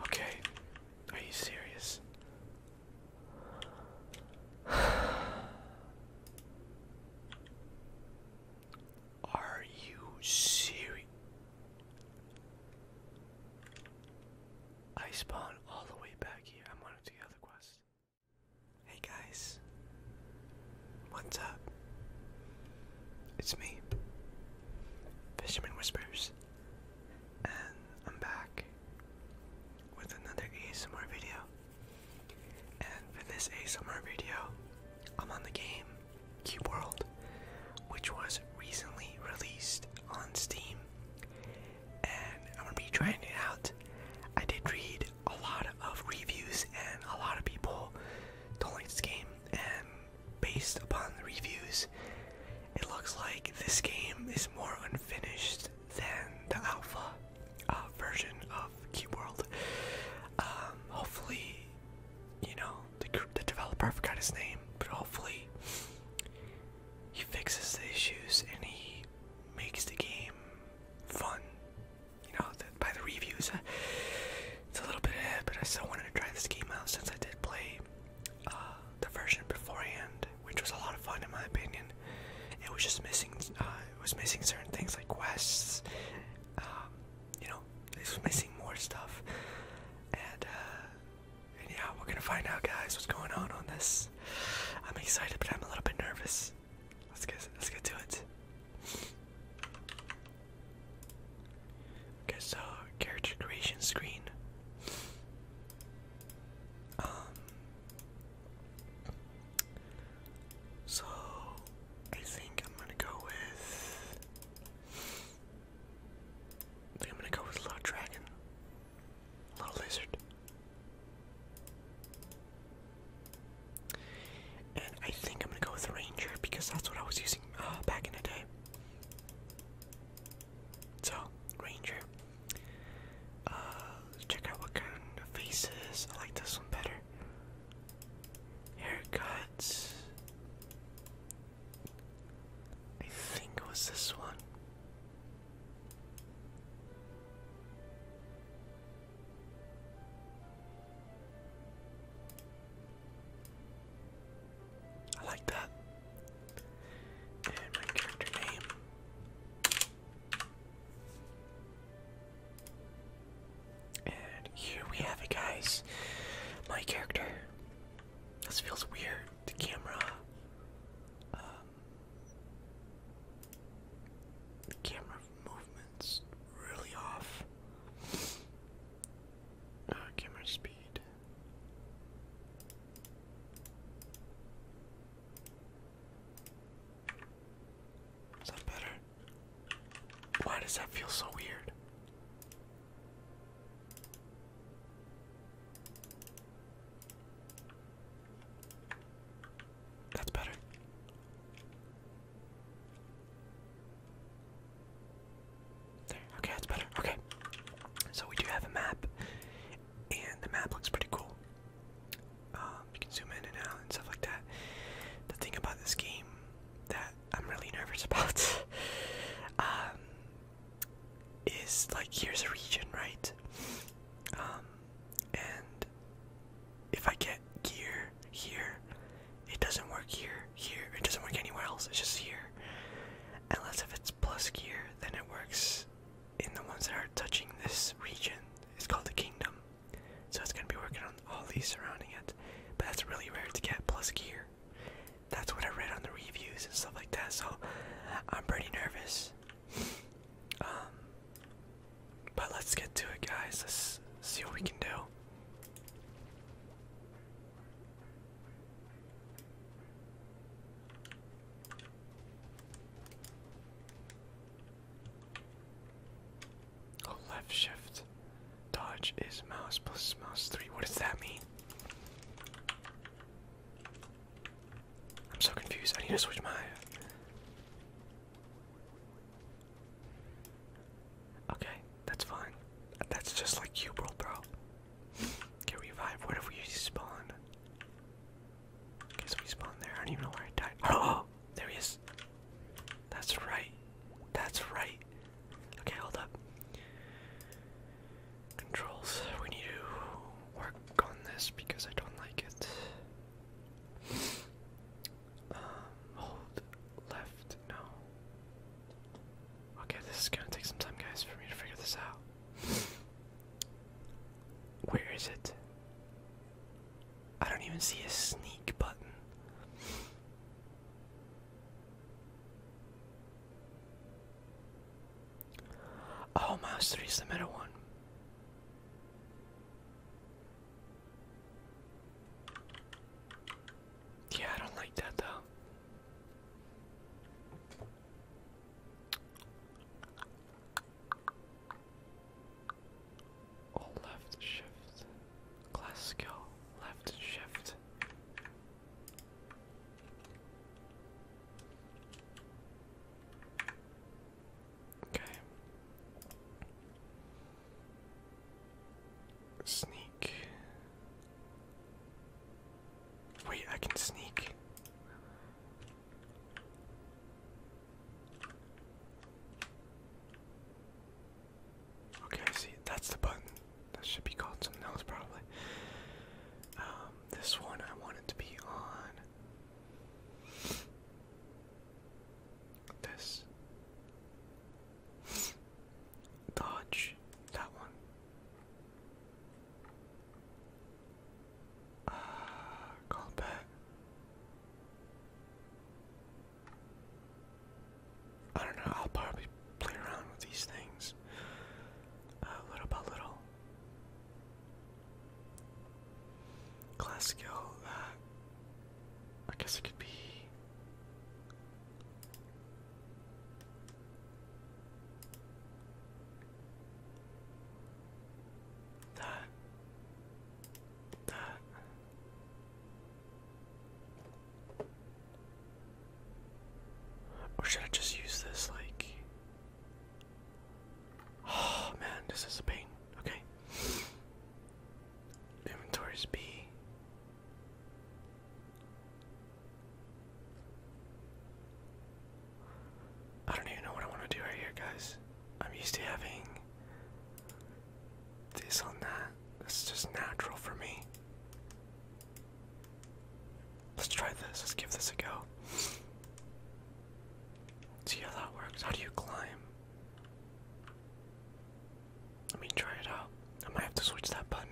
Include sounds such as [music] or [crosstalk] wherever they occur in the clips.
Okay, are you serious? [sighs] Are you serious? I spawn all the way back here. I'm on to the other quest. Hey guys. What's up? It's me, Fisherman Whispers, and I'm back with another ASMR video. And for this ASMR video, I'm on the game Cube World, which was recently released on Steam, and I'm gonna be trying it out. I did read a lot of reviews, and a lot of people don't like this game, and based upon the reviews, it looks like this game is more unfinished than the alpha uh, version of Cube World. Um, hopefully, you know, the, developer, I forgot his name, but hopefully he fixes the issues and he makes the game fun. You know, by the reviews, uh, it's a little bit ahead, but I still wanted to try this game out since I did play uh, the version beforehand, which was a lot of fun in my opinion. It was just missing, uh, it was missing certain things like quests. Um, you know, it was missing more stuff, and and yeah, we're gonna find out, guys, what's going on on this. I'm excited, but I'm a little bit nervous. Let's get let's get to it. Okay, so character creation screen. Um. So I think I'm gonna go with. I think I'm gonna go with a little dragon. A little lizard. And I think I'm gonna go with a ranger because that's what I was using uh, back in the day. So, ranger. Uh, let's check out what kind of faces. I like this one better. Haircuts. I think it was this one. I like that. And my character name. And here we have it, guys. My character. This feels weird. The camera. Um, the camera movement's really off. Uh, camera speed. Is that better? Why does that feel so weird? That's better. okay, that's better. Okay. So we do have a map, and the map looks pretty cool. Um, you can zoom in and out and stuff like that. The thing about this game that I'm really nervous [laughs] about um, is like here's a region, right? Um, and if I get gear here, it doesn't work here, here, it doesn't work anywhere else, it's just here. Unless if it's plus gear, then it works in the ones that are touching this region. It's called the kingdom. So it's gonna be working on all these surrounding it. But that's really rare to get plus gear that's what I read on the reviews and stuff like that. So I'm pretty nervous. Um, but let's get to it, guys. Let's see what we can do. Oh, left shift. Dodge is mouse plus mouse three. What does that mean? me. I'm so confused. I need to switch my. Okay, that's fine. That's just like you, world, bro. Get revived. Where did we spawn? Okay, so we spawned there. I don't even know where I died. Oh, [gasps] there he is. That's right. That's right. Okay, hold up. Controls. We need to work on this because I don't like it. Um, hold left. No. Okay, this is gonna take some time, guys, for me to figure this out. Where is it? I don't even see a sneak button. Oh, mouse is the middle one. Yeah, I don't like that though. Oh, left shift. Class skill. Left shift. Okay. Sneak. Wait, I can sneak. Okay, see. That's the button. That should be called something else, probably. Um, this one I wanted to be on. This. Dodge. That one. Uh, back. I don't know, I'll probably play around with these things uh, little by little. Classical, uh, I guess it could be. That. That. Or should I just use this like [sighs] Oh man, this is a pain. Okay. Inventory is B. I don't even know what I want to do right here, guys. I'm used to having this on that. It's just natural for me. Let's try this. Let's give this a go. See how that works. How do you climb? Let me try it out. I might have to switch that button.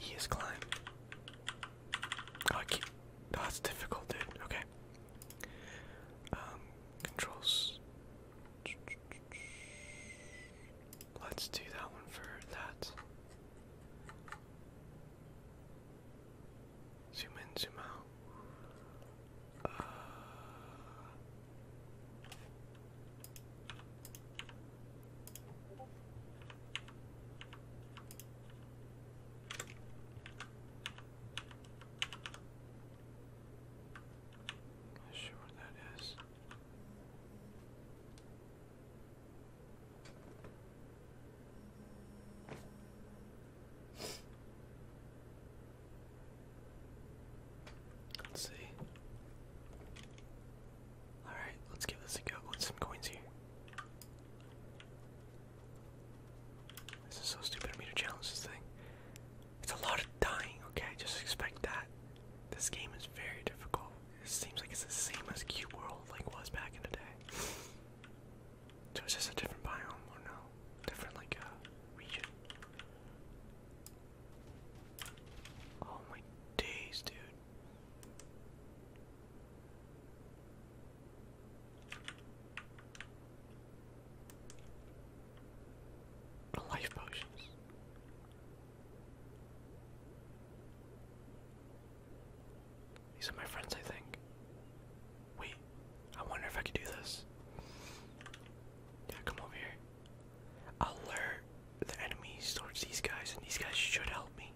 E is climb. Oh, that's difficult, dude. Okay. Um, controls. Let's do that one for that. Zoom in, zoom out. Uh, not sure what that is. Let's see. Alright, let's give this a go with some coins here. This is so stupid of me to challenge this thing. It's a lot of dying, okay? Just expect that. This game is very difficult. It seems like it's the same as Cube World like was back in the day. So it's just a different biome or no? Different like uh, region. Oh my days, dude. Life potions. These are my friends, I think. Wait, I wonder if I could do this. Yeah, come over here. Alert the enemies towards these guys, and these guys should help me.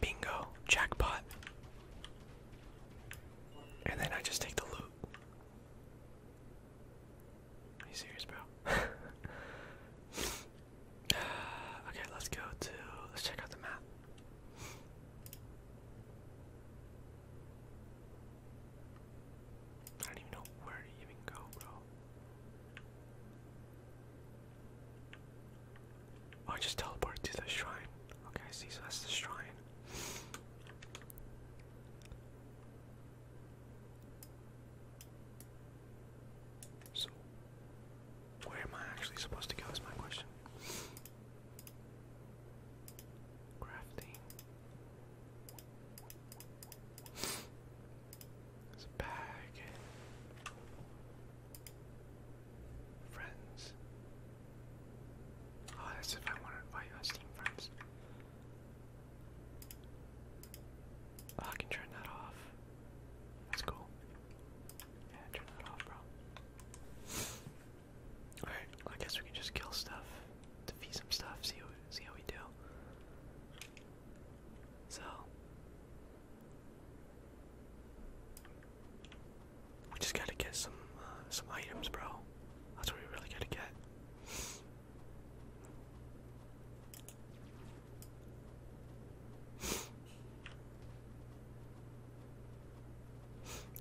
Bingo, jackpot. And then I just take the loot. Are you serious, bro? [laughs] okay, let's go to. Let's check out the map. I don't even know where to even go, bro. Oh, I just teleported to the shrine. Okay, see, so that's the shrine. So, where am I actually supposed to go is my question. Crafting. There's a bag. Friends. Oh, that's if I want to invite my Steam friends. Oh, I can turn that off. That's cool. Yeah, turn that off, bro. Alright, I guess we can just kill stuff, to feed some stuff, see, what, see how we do. So, we just gotta get some uh, some items, bro. That's what we really gotta get.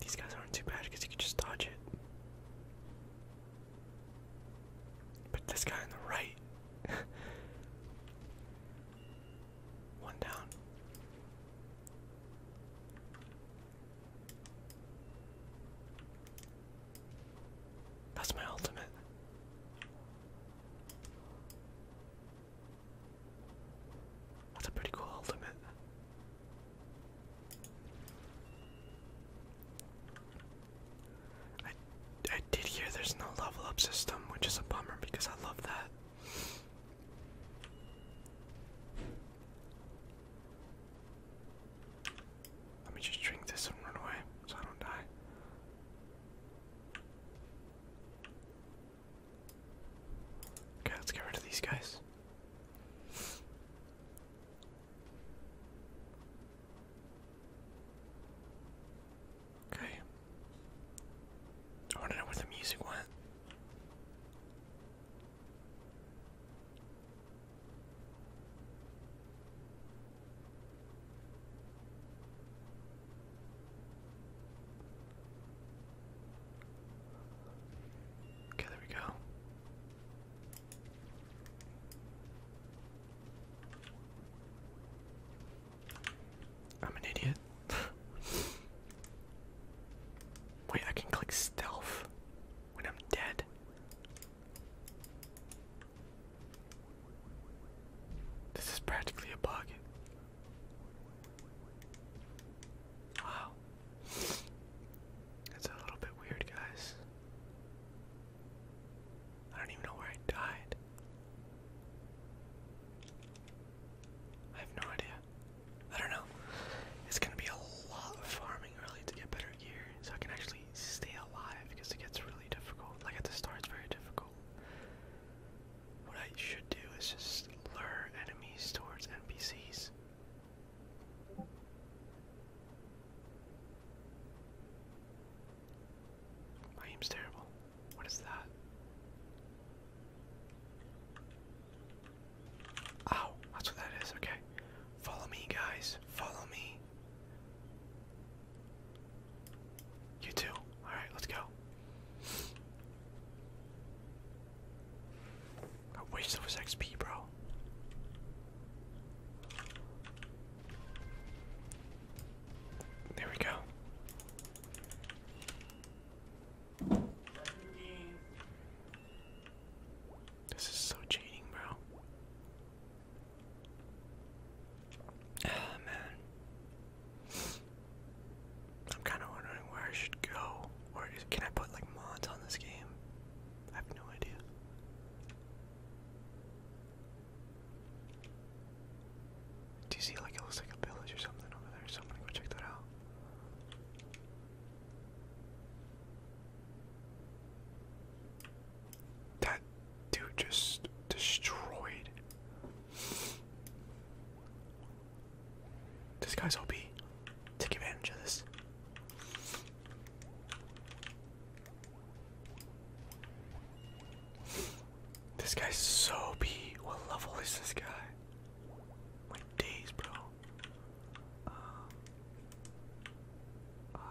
These guys aren't too bad because you can just dodge it. But this guy on the right. [laughs] One down. That's my ultimate. That's a pretty cool ultimate. I I did hear there's no level up system, which is a bummer because I love that. Let me just drink this and run away so I don't die. Okay, let's get rid of these guys. Okay. I want to know where the music went. Okay, there we go. I'm an idiot. [laughs] Wait, I can click stealth when I'm dead. This is practically a bug. Wow. That's a little bit weird, guys. I don't even know where I died. I have no idea. I don't know. It's gonna be a lot of farming early to get better gear, so I can actually stay alive because it gets really difficult. Like at the start, it's very difficult. What I should do is just lure enemies towards NPCs. My aim's terrible. What is that? Oh, that's what that is. Okay. Follow me, guys. Follow me. You too. Alright, let's go. I wish there was XP, bro. There we go. This is so cheating, bro. Ah, man. I'm kind of wondering where I should go. Or can I put like mods on this game? I have no idea. Do you see like it looks like a village or something over there? So I'm gonna go check that out. That dude just destroyed. This guy's OP. Take advantage of this. This guy's so B. What level is this guy? Like days, bro. Um,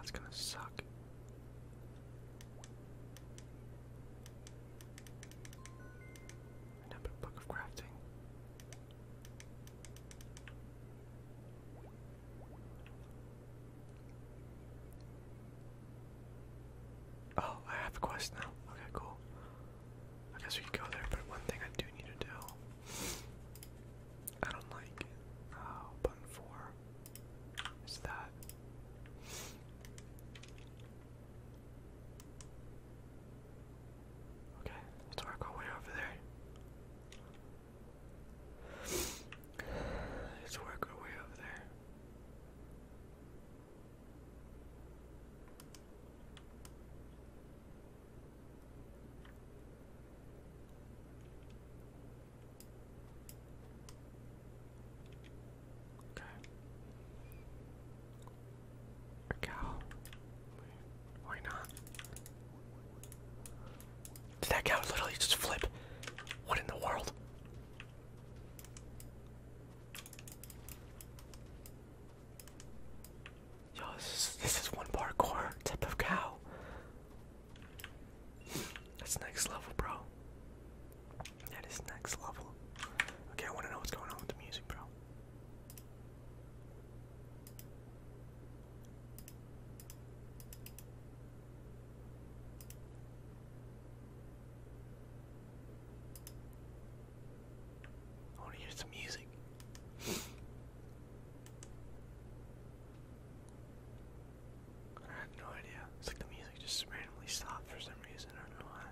it's gonna suck. Another book of crafting. Oh, I have a quest now. Okay, cool. I guess we could go there, but one thing I do need to do. I don't like oh, button four. Is that? Okay, let's work our way over there. [sighs] Let's work our way over there. Okay. A cow. Why not? Did that cow literally just flip? What in the world? Yo, this is, one parkour type of cow. That's next level, bro. That is next level. Okay, I want to know what's going on with the music, bro. I want to hear some music. I had no idea. It's like the music just randomly stopped for some reason. I don't know why.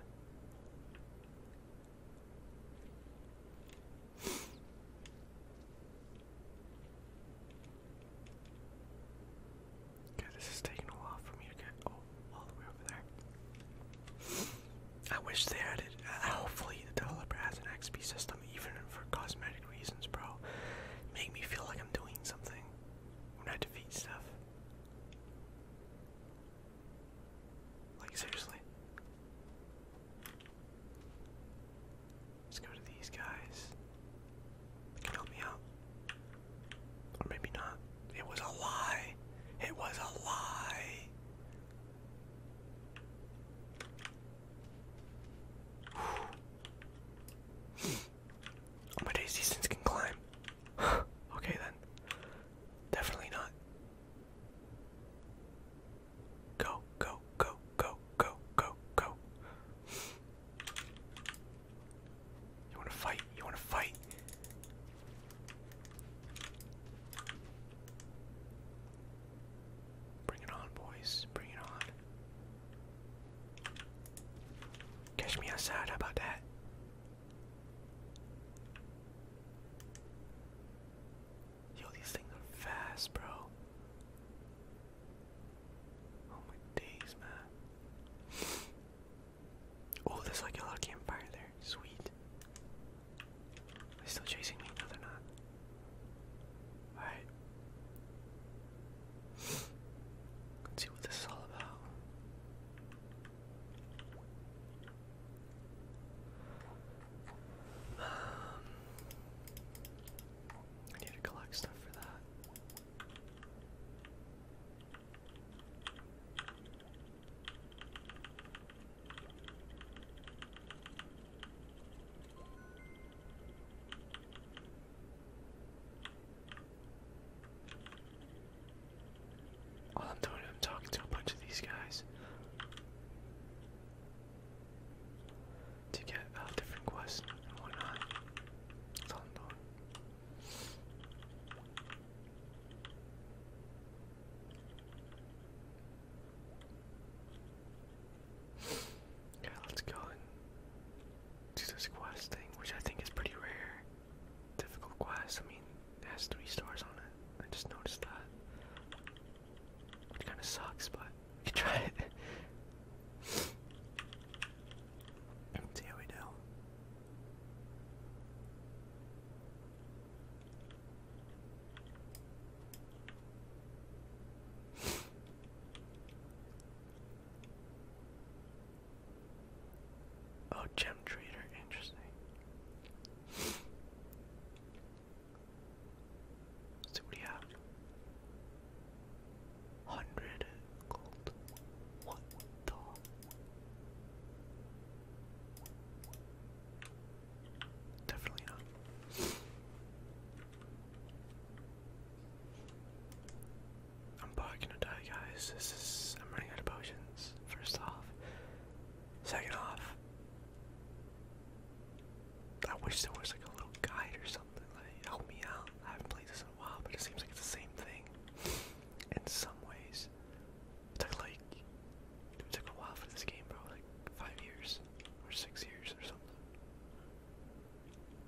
Okay, this is taking a while for me to get all the way over there. I wish they had it. Uh, hopefully, the developer has an XP system, even for cosmetic reasons, bro. Make me feel like I'm doing something when I defeat stuff. Like, seriously. Let's go to these guys. can help me out. Or maybe not. It was a lie. It was a lie. my days, [sighs] these can climb. [sighs] okay then. Definitely not. Go, go, go, go, go, go, go. You wanna fight? You wanna fight? Bring it on, boys. Bring it on. Catch me outside. How about that? Yo, these things are fast, bro. Oh my days, man. Oh, there's like a little campfire there. Sweet. They're still chasing me. No, they're not. Alright. Let's see what this is all about. Um, I need to collect stuff for that. All oh, I'm doing, i talking to a bunch of these guys to get uh, different quests and whatnot. That's all I'm doing. Yeah, let's go do this quest thing, which I think is pretty rare. Difficult quest, I mean, it has three stars on it. I just noticed that. It kind of sucks, but you can try it. [laughs] see how we do. Oh, gem trader, interesting. see what do have? Hundred gold. What the? Definitely not. I'm probably to die, guys. This is. I'm running out of potions, first off. Second off, I wish there was like a little guide or something. Like, help me out. I haven't played this in a while, but it seems like it's the same thing in some ways. It took like it took a while for this game, bro. Like five years or six years or something.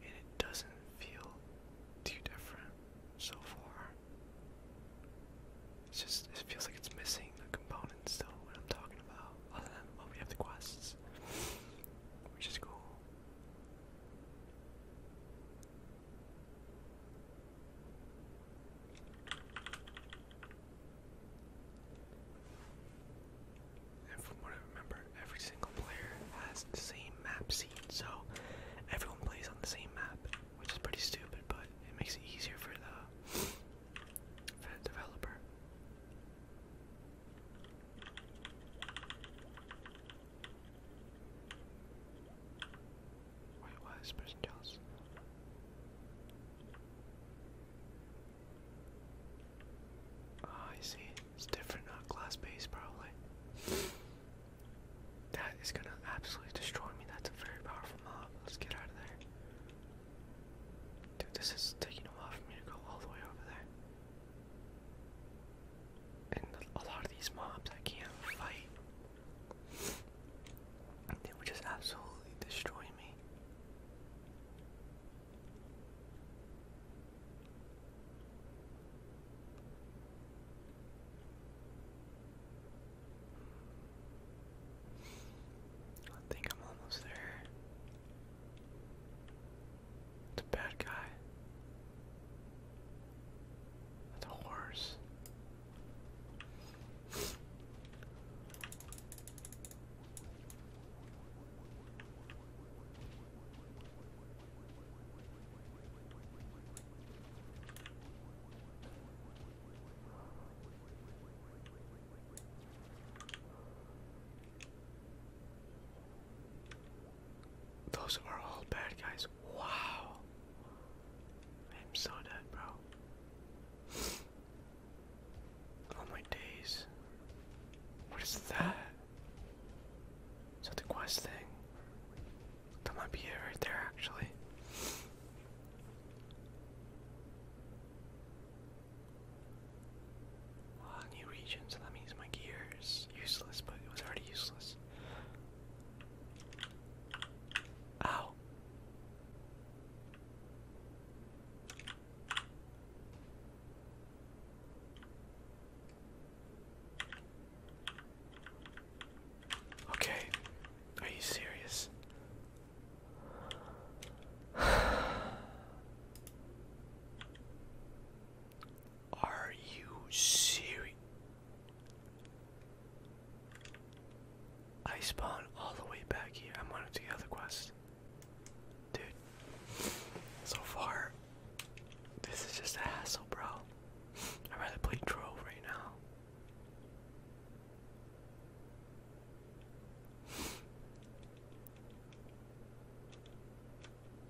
And it doesn't feel too different so far. It's just it feels like it's missing the components still. What I'm talking about. Other than well, we have the quests, which is cool. And from what I remember, every single player has the same map seed, so everyone plays on the same map, which is pretty stupid, but it makes it easier for the for the developer. Wait, why person jealous? Ah, I see. It's different, not glass base, probably. That is gonna absolutely destroy me. That's a very powerful mob. Let's get out of there. Dude, this is taking a while for me to go all the way over there. And a lot of these mobs I can't fight. They would just absolutely destroy me. I think I'm almost there. It's a bad guy. That's a horse. Those are all bad guys. Wow. I'm so dead, bro. oh my days. What is that? Is that the quest thing? That might be it right there, actually. new region, so that means my gear useless, but it was already useless. Ow. Okay, are you serious? [sighs] Are you serious? I spawned all the way back here. I'm on to the other quest. Dude, so far, this is just a hassle, bro. i rather play Drove right now.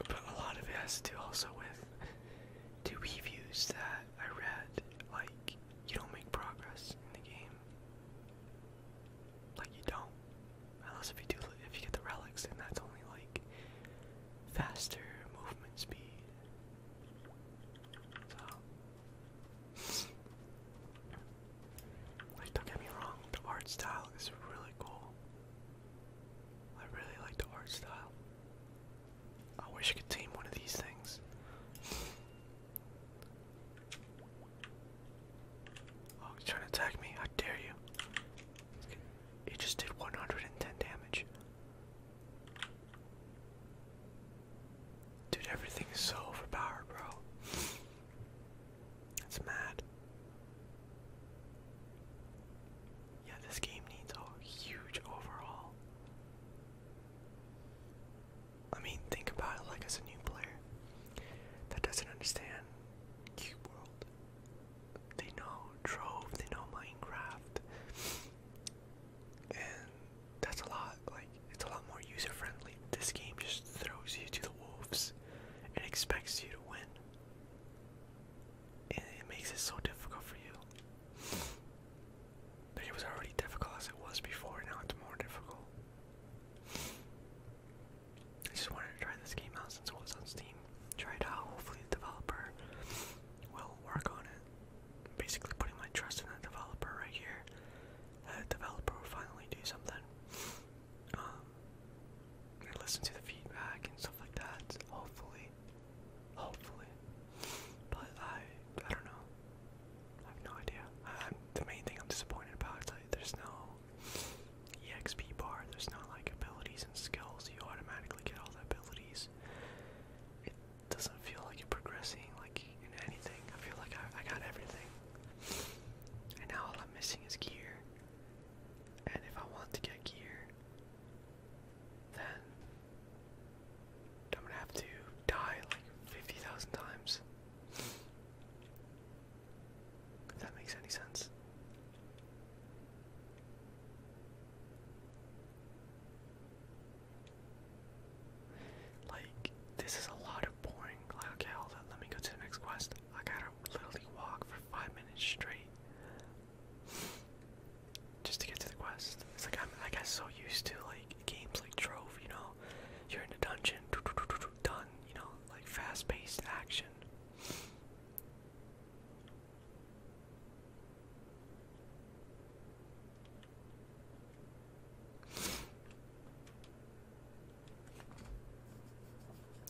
But a lot of it to also with the reviews that I read, like you don't make progress in the game. Like you don't. Unless if you do if you get the relics and that's only like faster movement speed. So like don't get me wrong, the art style is really cool. I really like the art style. I wish I could tame one of these things. Oh, he's trying to attack me. How dare you? It just did 110 damage. Dude, everything is so overpowered, bro. That's mad. Yeah, this game needs a huge overhaul. I mean, think about it like as a new player that doesn't understand Cube World. They know Trove, they know Minecraft, and that's a lot. Like, it's a lot more user friendly. This game just throws you to the wolves and expects you to win. And it makes it so difficult for you. It was already difficult as it was before, now it's more difficult. I just wanted to try this game out since it was on Steam. Try it out, hopefully the developer will work on it. basically putting my trust in that developer right here. the developer will finally do something. Um, and listen to the feedback and stuff like that. Hopefully. Hopefully. But I, I don't know. I have no idea. the main thing I'm disappointed about is like there's no EXP bar. There's no like abilities and skills. You automatically get all the abilities. It doesn't feel like you're progressing like in anything. I feel like I, I got everything. And now all I'm missing is gear. And if I want to get gear, then I'm gonna have to die like 50,000 times. If that makes any sense. Like, this is a lot of boring. okay, hold on, let me go to the next quest. I gotta literally walk for five minutes straight just to get to the quest. It's like I'm I got so used to like games like Drove. you know, you're in a dungeon, done, you know, like fast-paced action.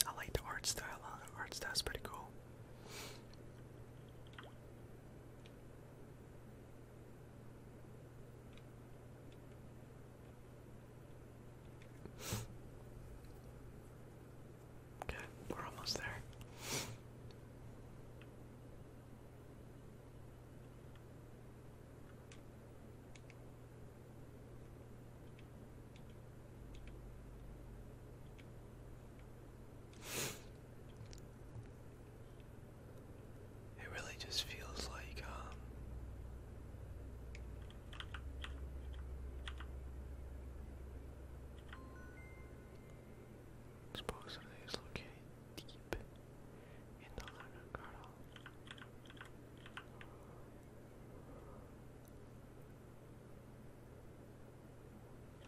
I like the art style. The uh, art style's pretty cool. Okay, we're almost there. It really just feels like, um, supposedly it's located deep in the Lanagara.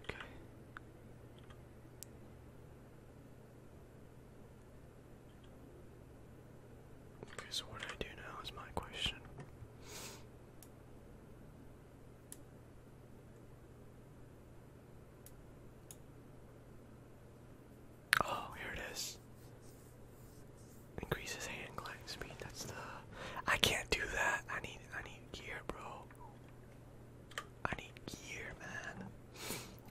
Okay. Okay, so what do I do now is my question. Oh, here it is. Increases hand glide speed. That's the. I can't do that. I need. I need gear, bro. I need gear, man.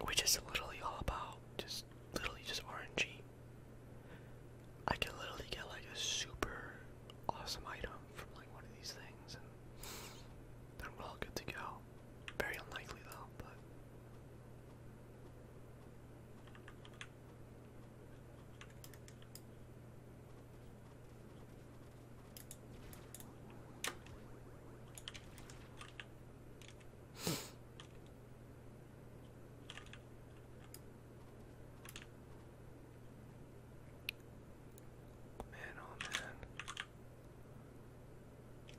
Which is literally all about just literally just RNG. I can literally get like a super awesome item from like one of these things, and then we're all good to go. Very unlikely though, but. Man, oh man.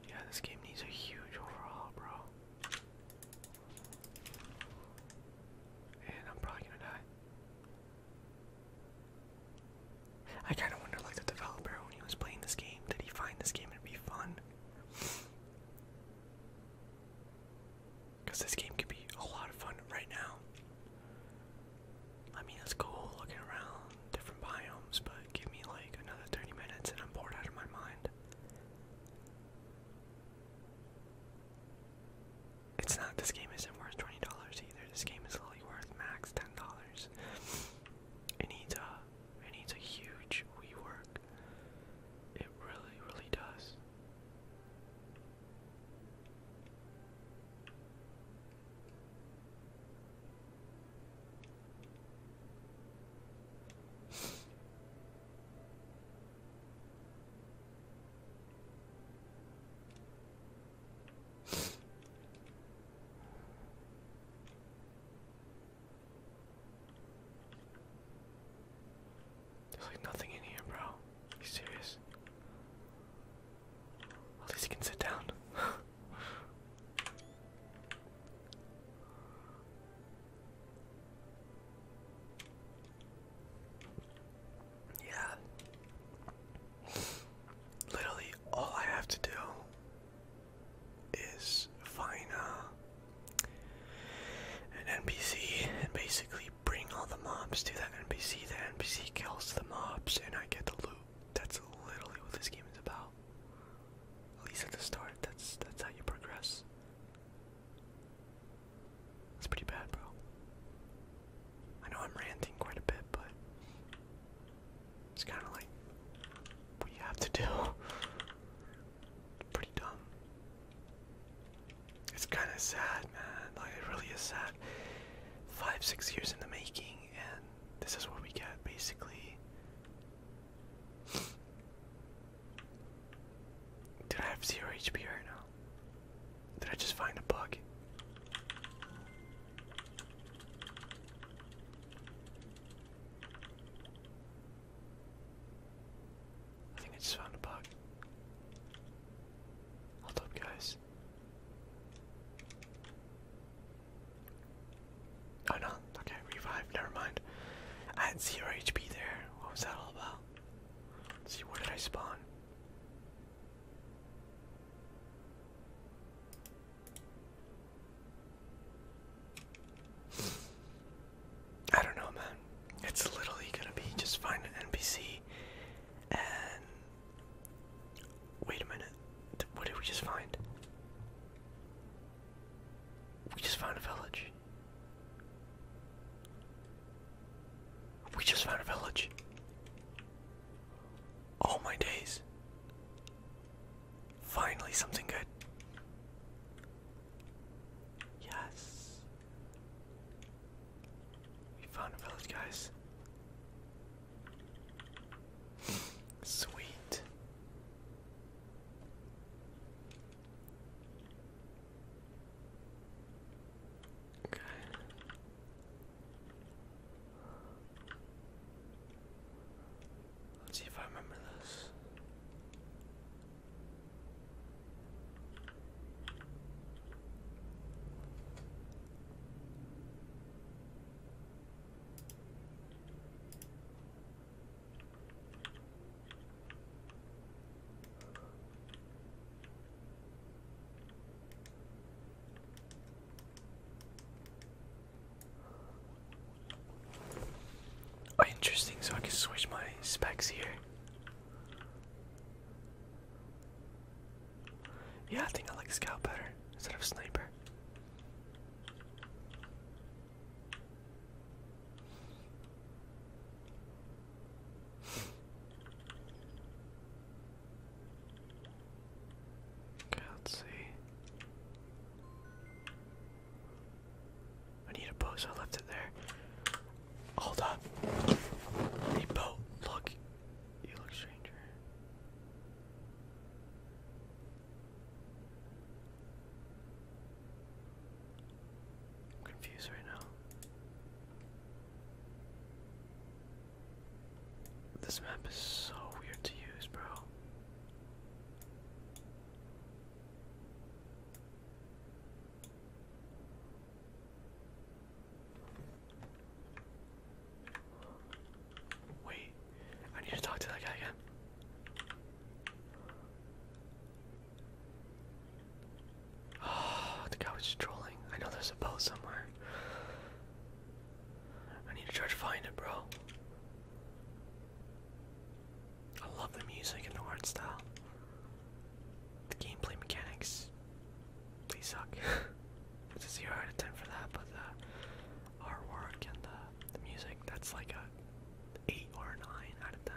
Yeah, this game needs a huge overhaul, bro. And I'm probably gonna die. I kind of wonder, like the developer when he was playing this game, did he find this game to be fun? Because this game could be a lot of fun right now. I mean, it's cool looking around different biomes, but give me like another 30 minutes and I'm bored out of my mind. It's not, this game isn't worth $20 either. This game is only worth max $10. It needs a, it needs a huge rework. It really, really does. There's like nothing in here, bro. Are you serious? At least you can sit down. [laughs] yeah. Literally all I have to do is find uh, an NPC and basically bring all the mobs to that NPC. The NPC kills the mobs, and I get the loot. That's literally what this game is about. At least at the start, that's that's how you progress. That's pretty bad, bro. I know I'm ranting quite a bit, but it's kind of like what you have to do. It's pretty dumb. It's kind of sad, man. Like it really is sad. Five, six years in the making, and this is what we get, basically. Did I have zero HP right now? Did I just find a bug? I think I just found a bug. Hold up, guys. Oh no, okay, revive, never mind. I had there. What was that all about? see, where did I spawn? I don't know, man. It's literally gonna be just find an NPC and. Wait a minute. What did we just find? We just found a village. We just found a village. Oh my days. Finally, something good. Yes. We found a village, guys. Sweet. Okay. Let's see if I remember this. Oh, interesting. So I can switch my specs here. Yeah, I think I like scout better instead of sniper. Okay, let's see. I need a boat, I left it there. Hold up. Need boat. Look. You look stranger. I'm confused right now. This map is so weird to use, bro. Wait, I need to talk to that guy again. Oh, [sighs] the guy was trolling. I know there's a boat somewhere. I need to try to find it, bro. I love the music and the art style. The gameplay mechanics, they suck. [laughs] it's a zero out of ten for that, but the artwork and the, music, that's like a eight or nine out of ten.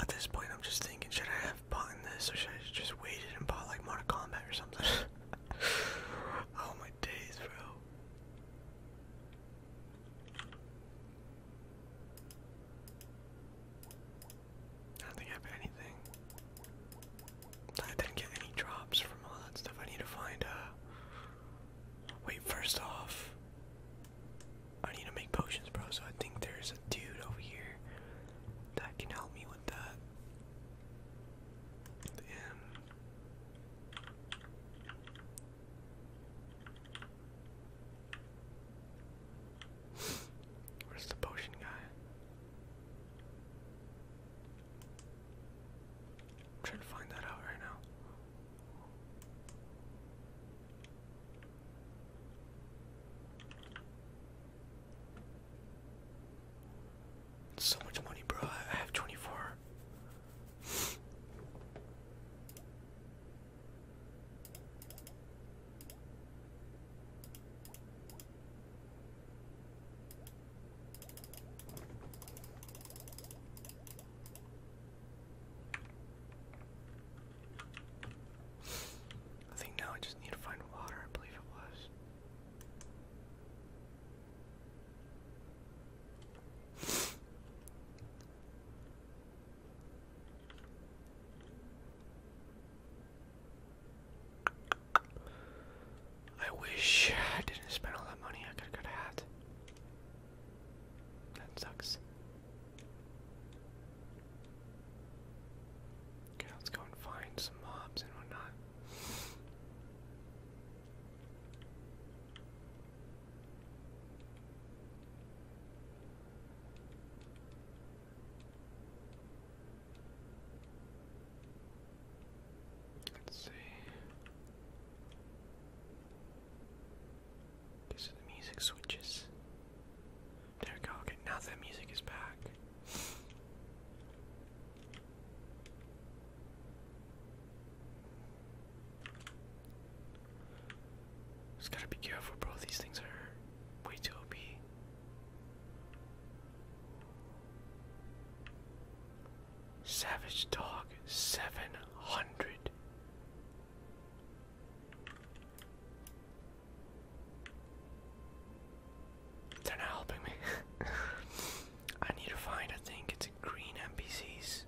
At this point, I'm just thinking, should I have bought this, or should I just waited and bought like Mortal Kombat or something? [laughs] oh my days, bro. I don't think I have anything. I didn't get any drops from all that stuff. I need to find, uh. Wait, first off, I need to make potions, bro. So I think there's a dude over here that can help me with that. And [sighs] Where's the potion guy? trying to find that out right now. So much money, bro. I have 24. I think now I just need to find water, I believe it was. I wish I didn't spend all that money. I could have got a hat. That sucks. Okay, let's go and find some mobs and whatnot. Let's see. These the music switches. There we go. Okay, now that music is back. Just gotta be careful, bro. These things are way too OP. Savage Dog 700. They're not helping me. [laughs] I need to find, I think it's a green NPCs.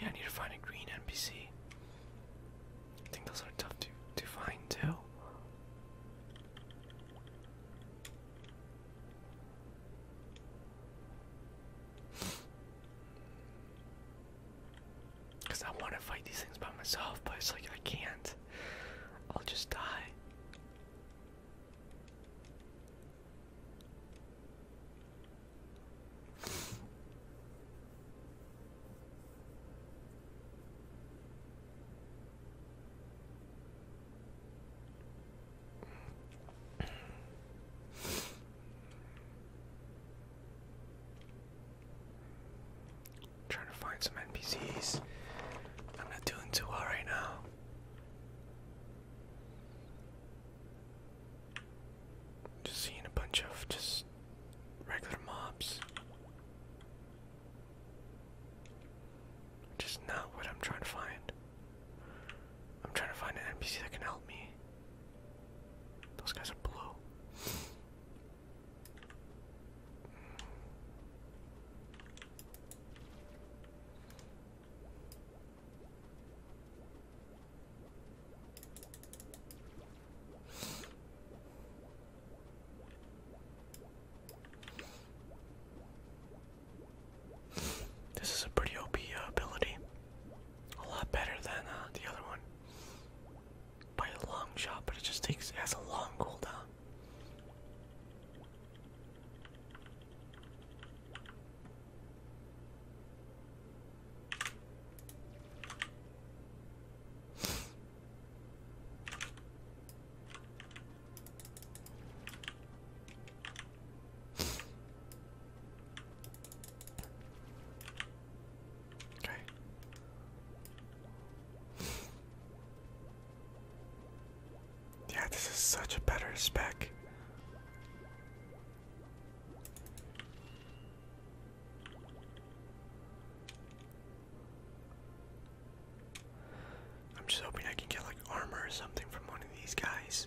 Yeah, I need to find a green NPC. I think those are tough to to find too. Because I want to fight these things by myself, but it's like I can't. I'll just die. Trying to find some NPCs. I'm not doing too well right now. Just seeing a bunch of just regular mobs. Just not what I'm trying to find. I'm trying to find an NPC that can help me. Those guys are blue. This is a pretty OP uh, ability. A lot better than uh, the other one. By a long shot, but it just takes, has a long cooldown. Okay. Yeah, this is such a better spec. I'm just hoping I can get like armor or something from one of these guys.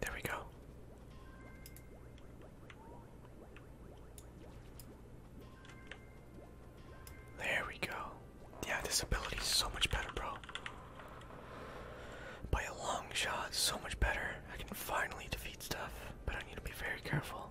There we go. There we go. Yeah, this ability is so much better, bro. By a long shot, so much better. I can finally defeat stuff, but I need to be very careful.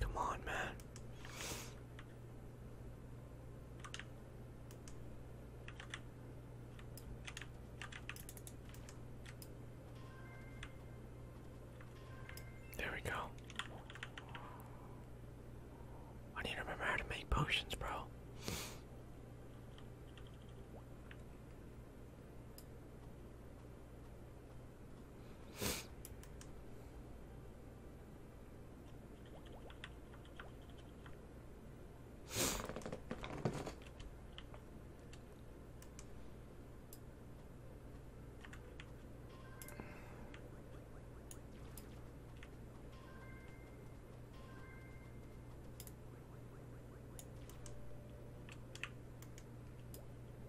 Come on, man. There we go. I need to remember how to make potions, bro.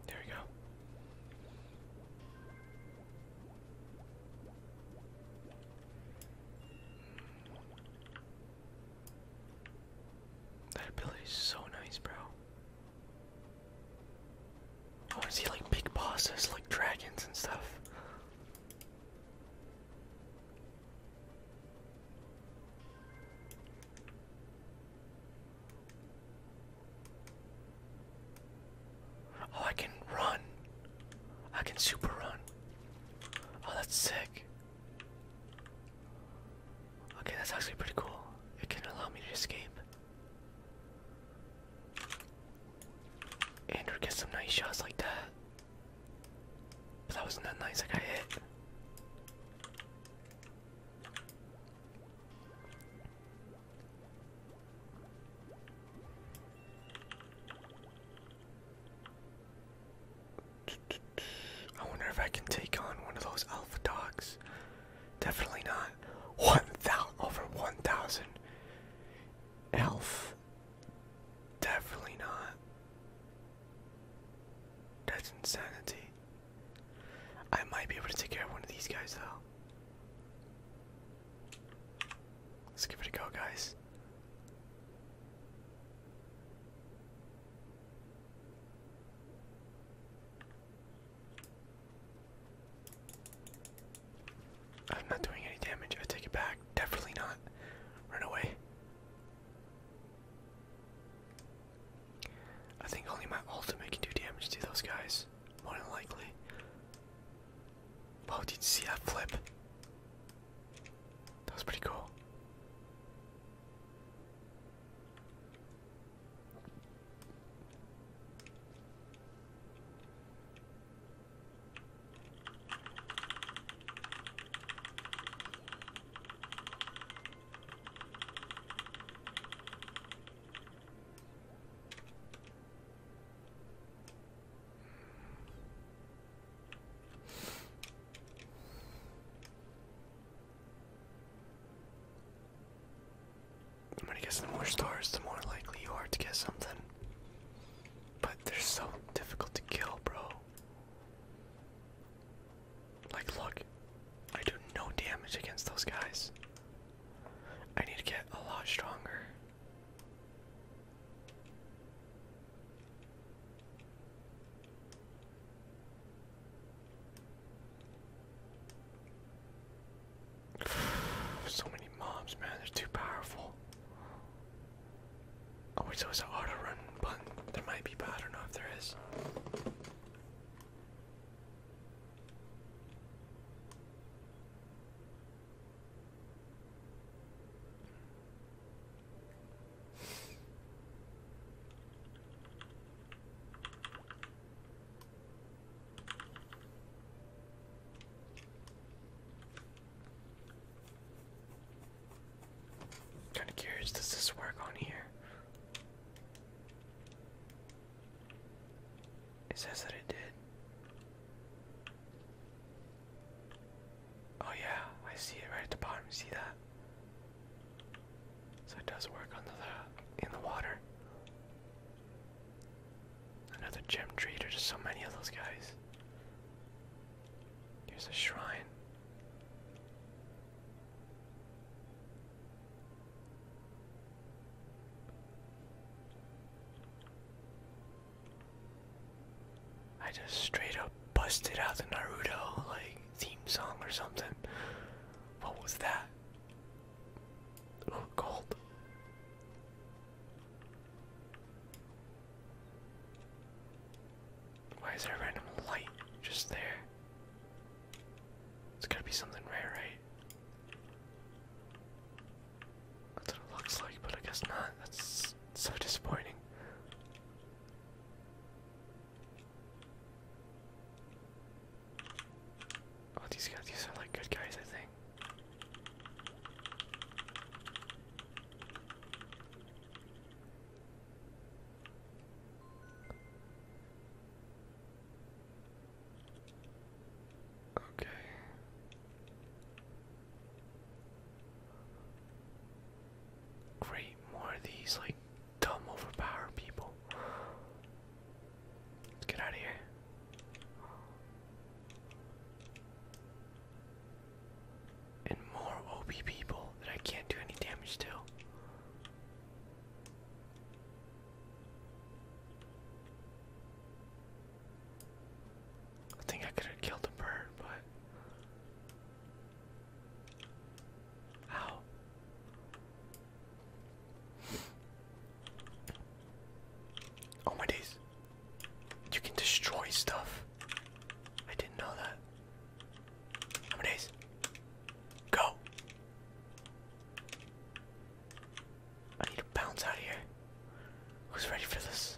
There we go. That ability is so nice, bro. Oh, I want to see like big bosses, like dragons and stuff. Oh, I can run. I can super run. Oh, that's sick. Okay, that's actually pretty cool. It can allow me to escape. Andrew gets some nice shots like that that wasn't that nice, I got hit. I wonder if I can take on one of those alpha dogs. Definitely not. One thou over one thousand elf. Definitely not. That's insanity. I might be able to take care of one of these guys though. Let's give it a go, guys. I'm not doing any damage. I take it back. Definitely not. Run away. I think only my ultimate can do damage to those guys. More than likely. Wow, did you see that flip? That was pretty cool. I'm gonna guess the more stars, the more likely you are to get something. But they're so difficult to kill, bro. Like, look, I do no damage against those guys. I need to get a lot stronger. [sighs] so many mobs, man, they're too powerful. Oh wait, so it's an auto run button. There might be, but I don't know if there is kinda curious, does this work on here? It says that it did. Oh yeah, I see it right at the bottom. See that? So it does work under the in the water. Another gem tree. There's so many of those guys. There's a shrine. I just straight up busted out the Naruto like theme song or something. What was that? Ooh, why is there a random light just there? It's gotta be something rare, right? That's what it looks like, but I guess not. That's so disappointing. Oh, these guys, these are like good guys, I think. Okay. Great, more of these like dumb overpower people. Let's get out of here. And more OP people that I can't do any damage to. I think I could have killed a bird, but. How? Oh my days. You can destroy stuff. I didn't know that. How many days? Go! I need to bounce out of here. Who's ready for this?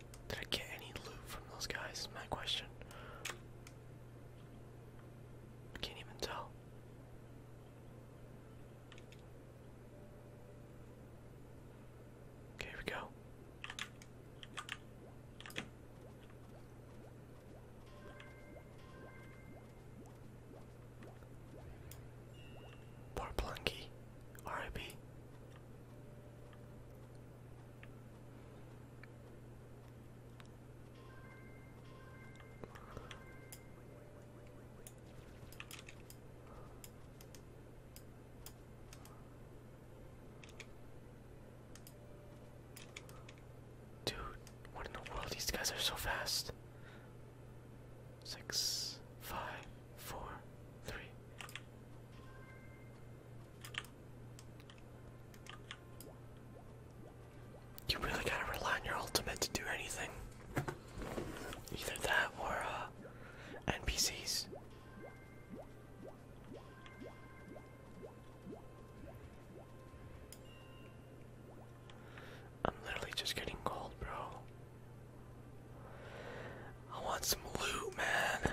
Did I get any loot from those guys? Is my question. can't even tell. here we go. Poor Plunky. R.I.P. Dude, what in the world? These guys are so fast. Six, five, four, three. You really gotta rely on your ultimate to do anything. Either that or uh, NPCs. I'm literally just getting cold, bro. I want some loot, man.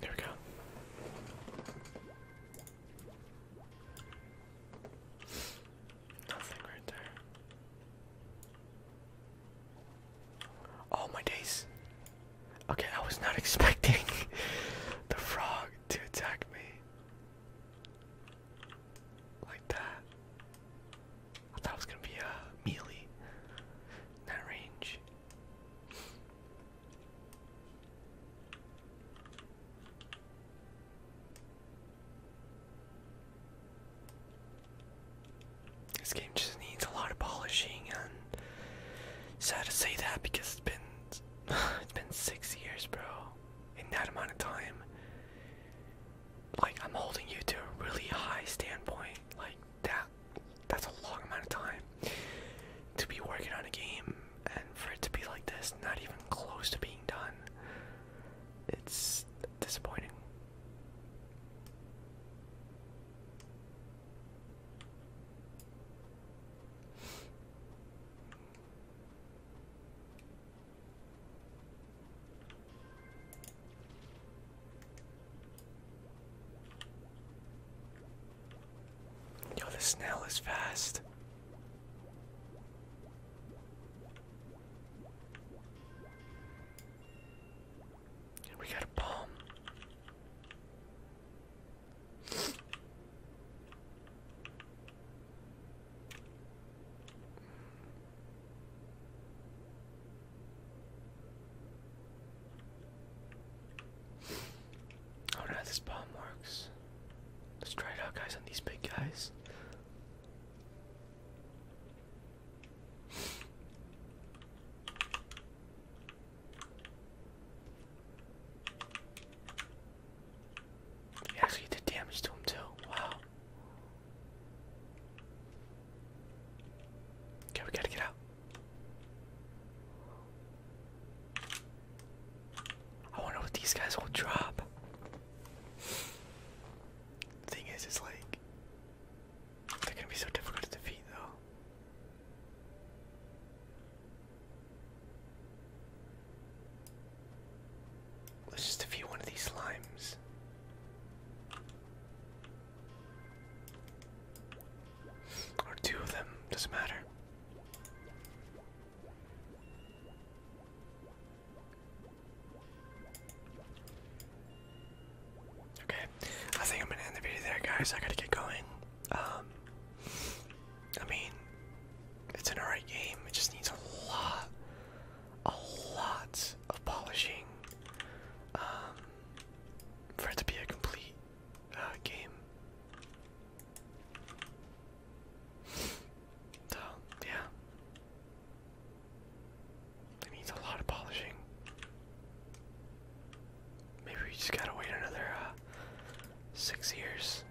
There we go. Nothing right there. Oh my days. Okay, I was not [laughs] expecting the frog to attack me. Like that. I thought it was gonna be a uh, melee. That range. This game just needs a lot of polishing, and sad to say that because it's been [sighs] it's been six years, bro. In that amount of time, like I'm holding you to a really high standpoint, like that that's a long amount of time to be working on a game and for it to be like this, not even close to being done. It's disappointing. Yo, the snail is fast. we got a bomb. Oh no, this bomb works. Let's try it out, guys, on these big guys. actually did damage to him, too. Wow. Okay, we gotta get out. I wonder what these guys will drop. The thing is, it's like they're gonna be so difficult to defeat, though. Let's just defeat one of these slimes. Or two of them, doesn't matter. Okay, I think I'm gonna end the video there, guys. I gotta get going. Um, I mean, it's an alright game. It just needs a lot, a lot of polishing. Um, for it to be a complete uh, game. [sighs] yeah, it needs a lot of polishing. Maybe we just gotta wait another uh, six years.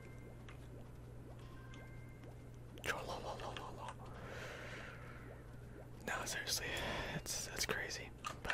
No, seriously, [sighs] it's that's crazy, but